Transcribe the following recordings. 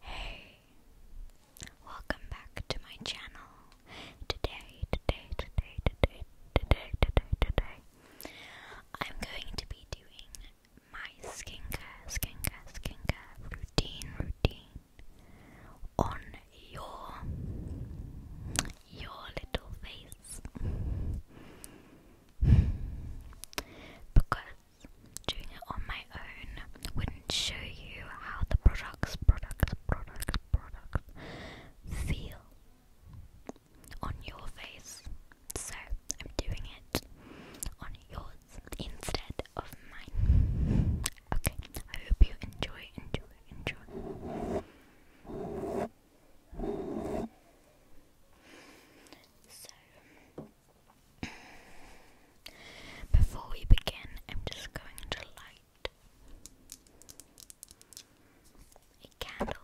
Hey, welcome back to my channel. Today, today, today, today, today, today, today, I'm going to be doing my skincare, skincare, skincare routine, routine on your, your little face. because doing it on my own wouldn't show you how the products, products, products, products feel on your face. So I'm doing it on yours instead of mine. Okay, I hope you enjoy, enjoy, enjoy. So before we begin, I'm just going to light a candle.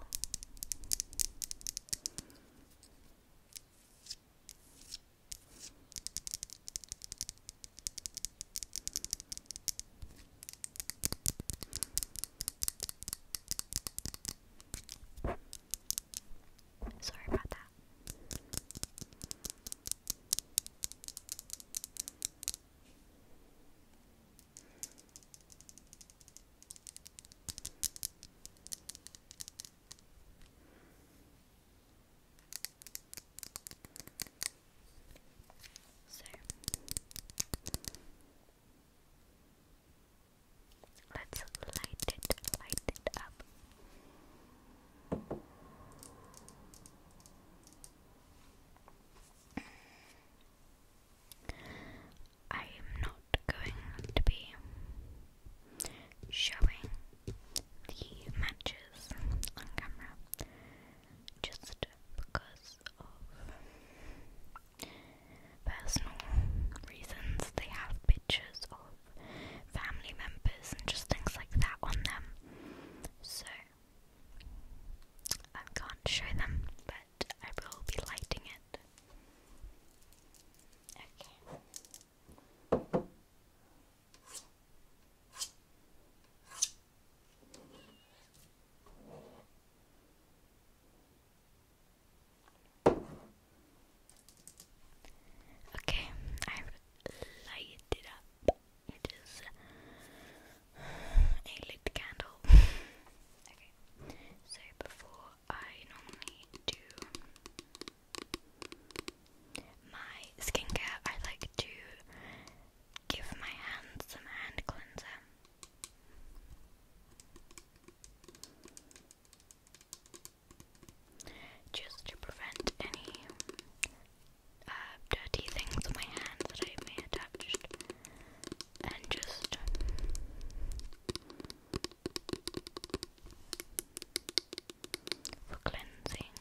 Sorry about that. So let's light it, light it up. I am not going to be showing the matches on camera just because of personal reasons. They have pictures of family members and just things like that on them. So I can't show them, but I will be lighting it. Okay. Okay, I've lighted it up. It is a lit candle. okay, so before I normally do my skincare, I like to give my hands some hand cleanser just to prevent any uh, dirty things on my hands that I may have touched, and just. For cleansing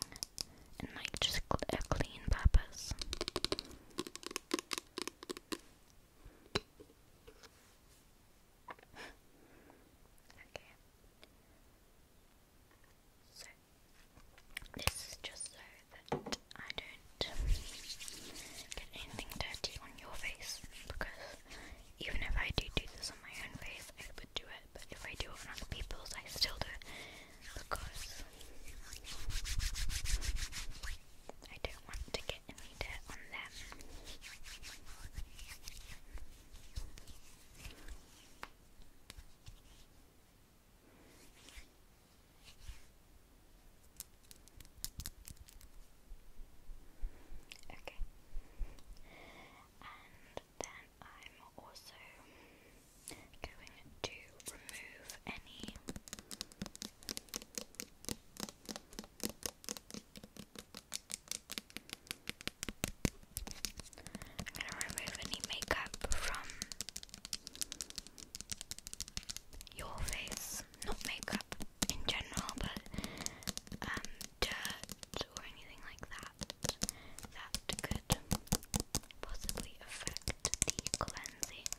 and like just a clean purpose. okay. So, this is just so that I don't get anything dirty on your face because even if I do do this on my own face, I would do it, but if I do it on other people's, I still do it because I don't want to get any dirt on them. Okay. And then I'm also going to remove any I'm gonna remove any makeup from your face. Not makeup in general, but um, dirt or anything like that that could possibly affect the cleansing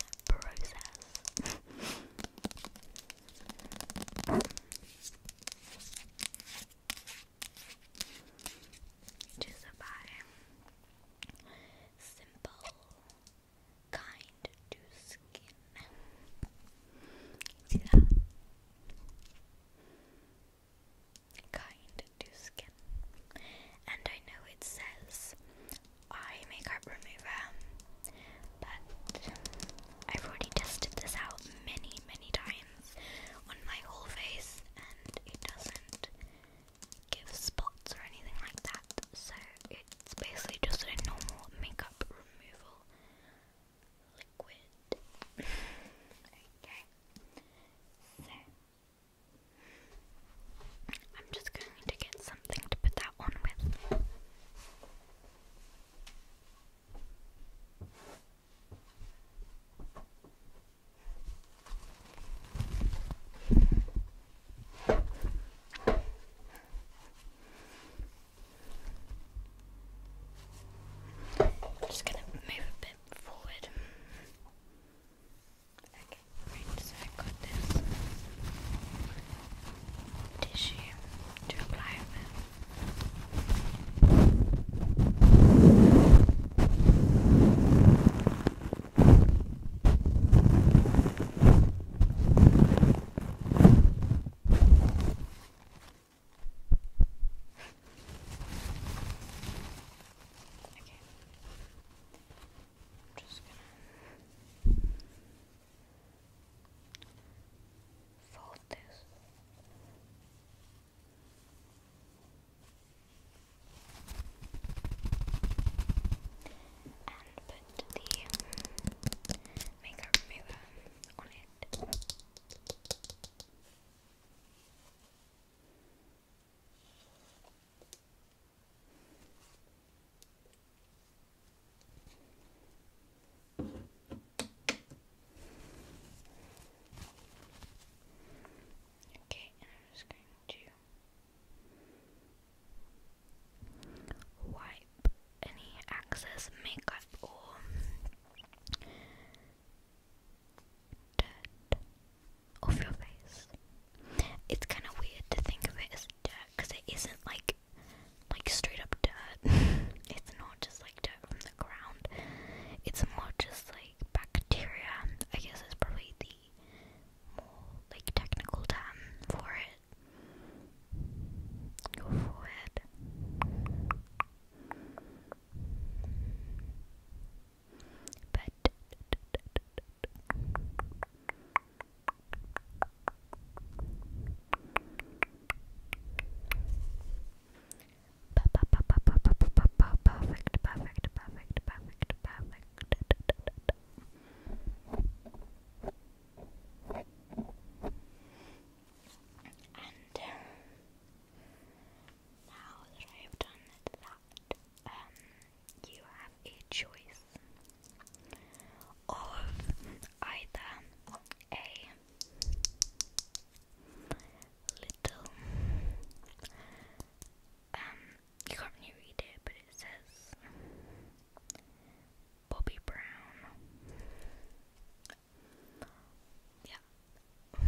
process. Just a bottom. Simple. Kind to skin. See that? Kind to skin. And I know it says eye makeup remover, but I've already tested this out many, many times on my whole face and it doesn't give spots or anything like that. So it's basically just a normal makeup removal liquid. okay. So I'm just going to get something to put that on with. I'm just going to move a bit forward. Okay, right, so i got this tissue to apply over. Okay. I'm just gonna fold this and put the makeup remover on it. Okay, I'm just going to wipe any excess makeup or dirt off your face. It's kind of weird to think of it as dirt because it isn't like like straight up dirt. it's not just like from the ground. It's more just like bacteria. I guess is probably the more like technical term for it. Go for it. Perfect, perfect, perfect, perfect, perfect. And um, now that I have done that, um, you have a choice of either a little um you can't really read it but it says Bobby Brown yeah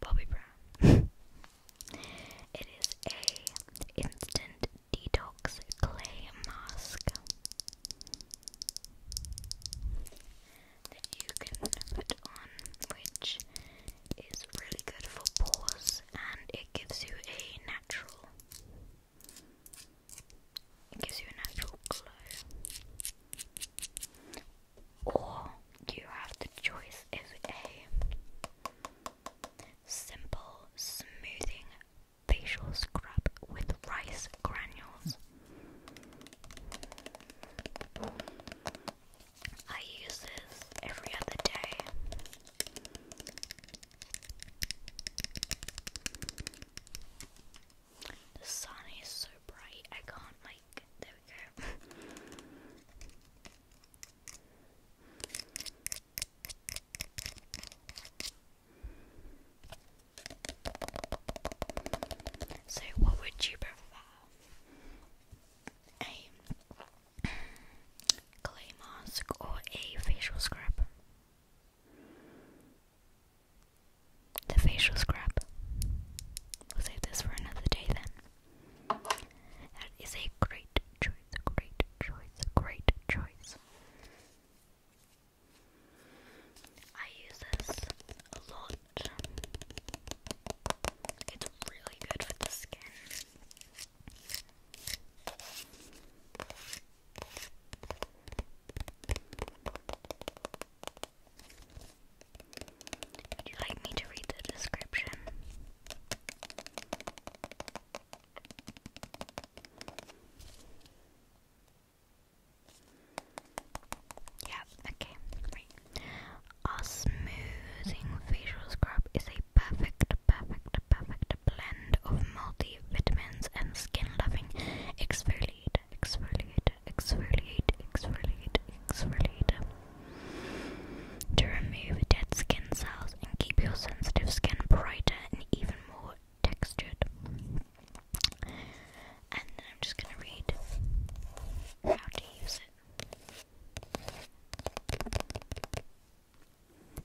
Bobby Brown It is a instant detox clay mask you can put on, which is really good for pores and it gives you a natural gives you a natural glow. Or you have the choice of a simple smoothing facial scrub with rice granules. I use this every other day. The sun is so bright, I can't like. There we go. So, what would you prefer? A clay mask or a facial scrub? The facial scrub. We'll save this for another day then. That is a great choice, great choice, great choice. I use this a lot. It's really good for the skin. Would you like me to read the description? Yeah, okay, right. Our smoothing facial scrub is a perfect, perfect, perfect blend of multivitamins and skin loving exfoliate, exfoliate, exfoliate, exfoliate, exfoliate to remove dead skin cells and keep your sensitive skin brighter and even more textured. And then I'm just going to read how to use it.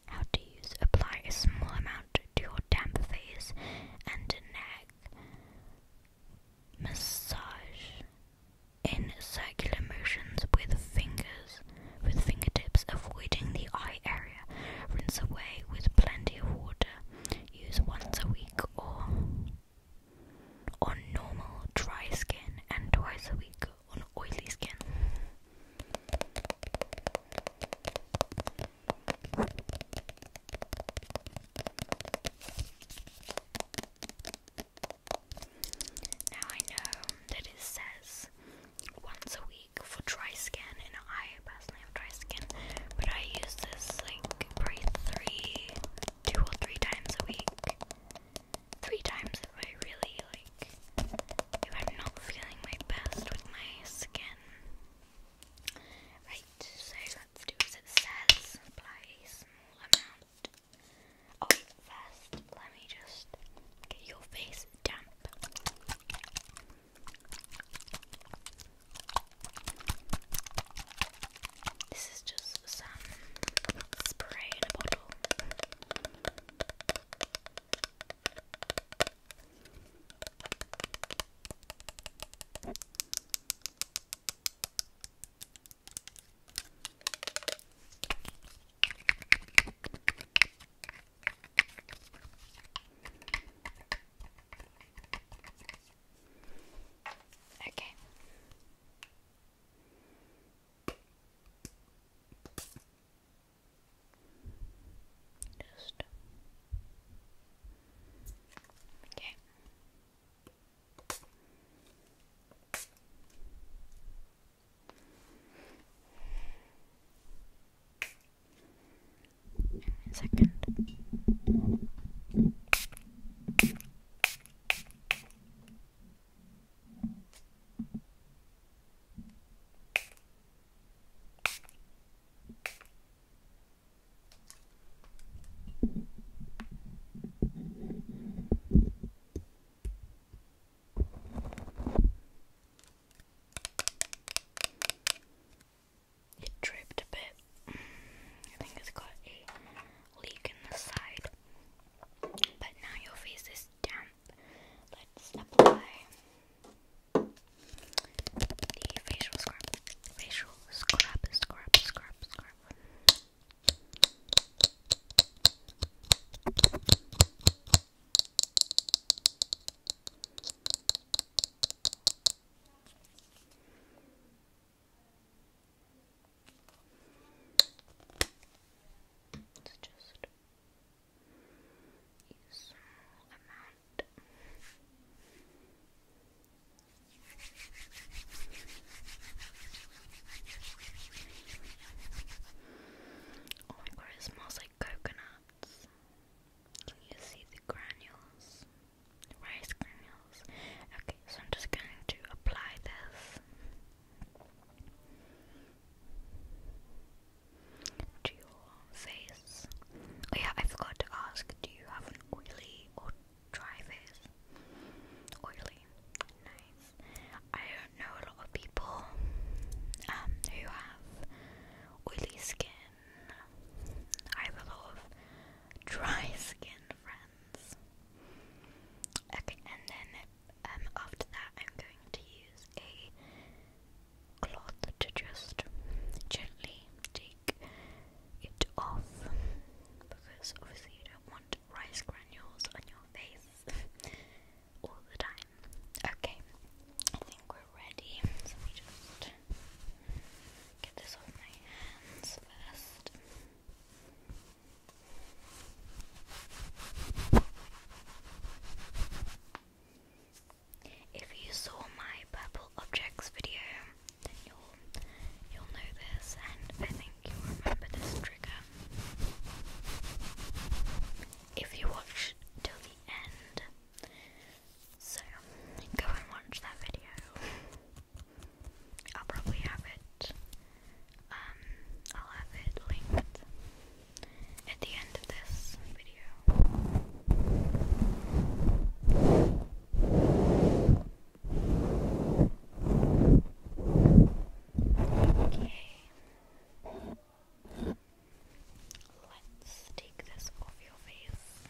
How to use. Apply a small amount to your damp face and neck. Massage in circular motions with fingers, with fingertips, avoiding the eye area. Rinse away with plenty of water use once a week or on normal dry skin and twice a week on oily skin. Now I know that it says once a week for dry skin and I personally have dry skin but I use this like probably three two or three times a week three times if I really like if I'm not feeling my best with my skin right so let's do as it says apply a small amount oh first let me just get your face damp this is just some spray a bottle. Okay. Just okay a second it dripped a bit. I think it's got a leak in the side. But now your face is damp. Let's apply the facial scrub. Facial scrub, scrub, scrub, scrub. Christ. just use small amount. Oh my god, it smells like coconuts. Can you see the granules? rice granules. Okay, so I'm just going to apply this to your face. Oh yeah, I forgot to ask, do you have an oily or dry face? Oily. Nice. I don't know a lot of people um, who have oily skin I have dry skin friends. Okay, and then um, after that, I'm going to use a cloth to just gently take it off because obviously you don't want rice granules on your face all the time. Okay, I think we're ready. let me just get this off my hands first. If you saw my purple objects video, then you'll you'll know this, and I think you'll remember this trigger. If you watch till the end, so go and watch that video. I'll probably have it. Um, I'll have it linked at the end of this video. Okay. Let's take this off your face.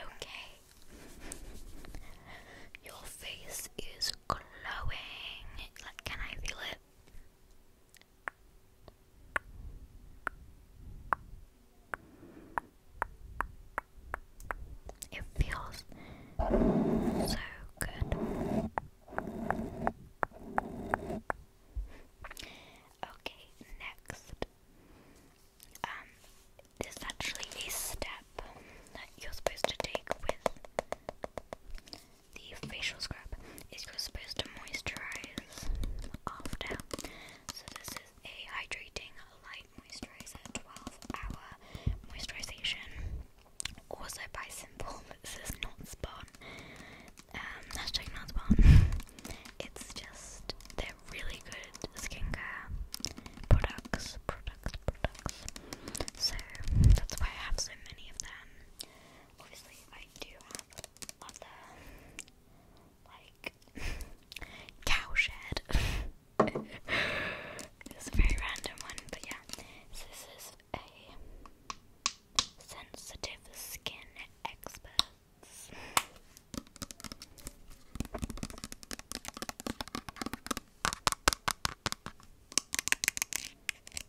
Okay. Your face is glowing. Like, can I feel it? It feels so good. Okay, next. Um, there's actually a step that you're supposed to take with the facial scrub is supposed to moisturize after. So this is a hydrating light moisturizer, 12 hour moisturization, also by Simple. This is not spun. Um, hashtag not spun. It's just they're really good skincare products, products, products. So that's why I have so many of them. Obviously, I do have other, like, cowshed. it's a very random one, but yeah. this is a sensitive skin experts.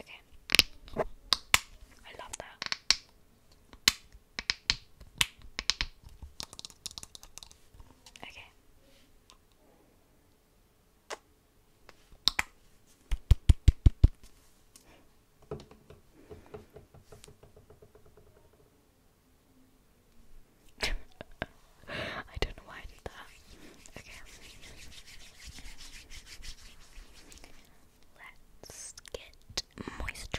Okay. I love that. Okay. I don't know why I did that. Okay. Let's get moisturized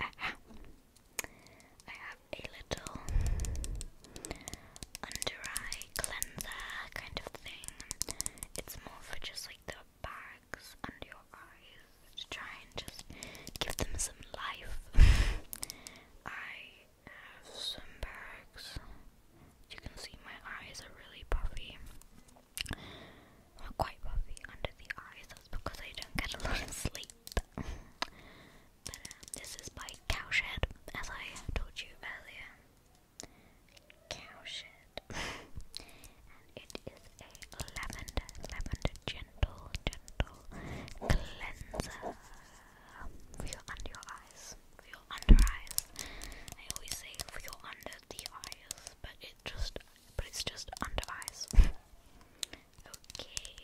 Aha. I have a little under eye cleanser kind of thing. It's more for just like the bags under your eyes to try and just give them some life. I have some bags. You can see my eyes are really puffy. Not quite puffy under the eyes, that's because I don't get a lot of sleep. but um, this is by Cowshed, as I told you earlier. Cowshed. and it is a lavender, lavender gentle, gentle cleanser for your under eyes. For your under eyes. I always say for your under the eyes, but it just but it's just under eyes. Okay.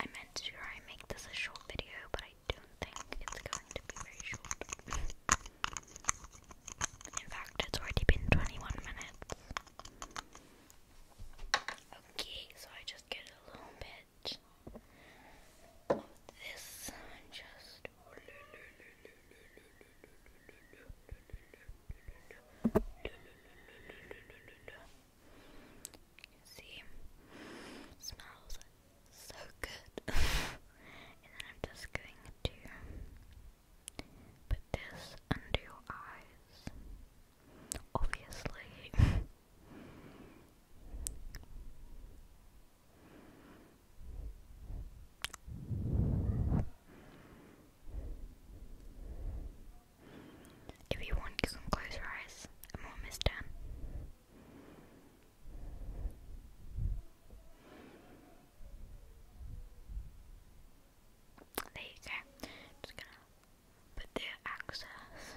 I meant to make this a short video, but I don't think it's going to be very short. In fact, it's already been 21 minutes. Okay, so I just get a little bit this and just see smells so good and then I'm just going to put this under your eyes obviously If you want, you can close your eyes. I'm almost done. There you go. Just gonna put the access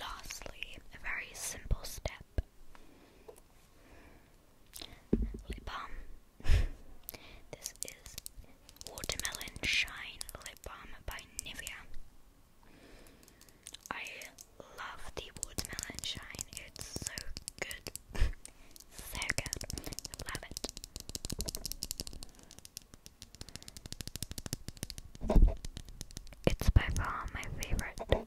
Lastly, a very simple step lip balm. this is Watermelon Shine Lip Balm by Nivea. I love the watermelon shine, it's so good so good. Love it. It's by far my favorite.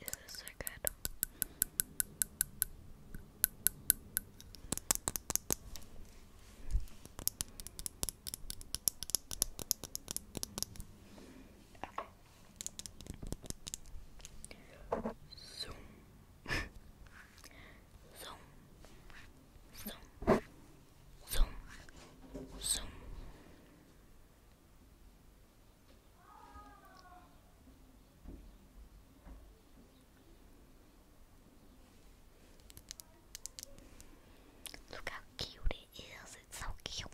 Is this so good? Zoom. Zoom. Zoom. Zoom. Zoom. Look how cute it is. It's so cute.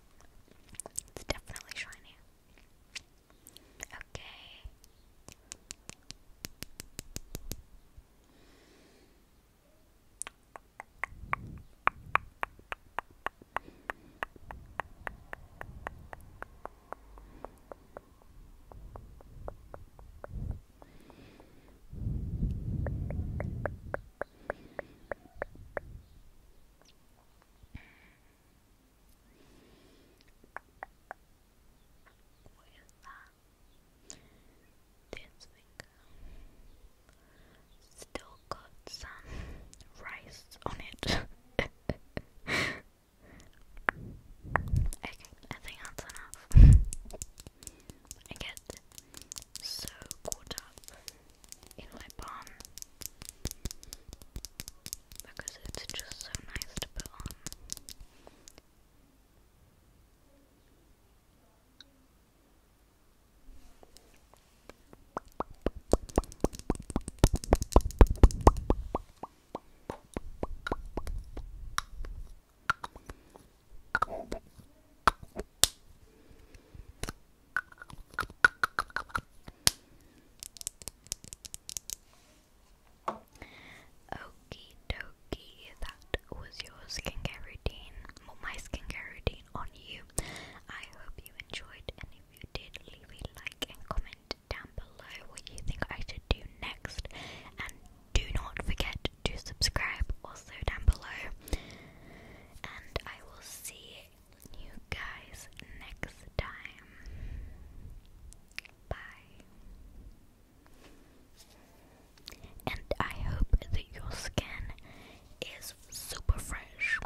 It's definitely shiny. Okay. With that, this finger still got some rice on it. okay, I think that's enough. I get so caught up in my palm because it's just so nice to put on. Okie dokie, that was your skincare routine, well, my skincare routine on you. I hope you enjoyed, if you did, leave a like and comment down below what you think I should do next. And do not forget to subscribe also down below. And I will see you guys next time. Bye. And I hope that your skin is super fresh.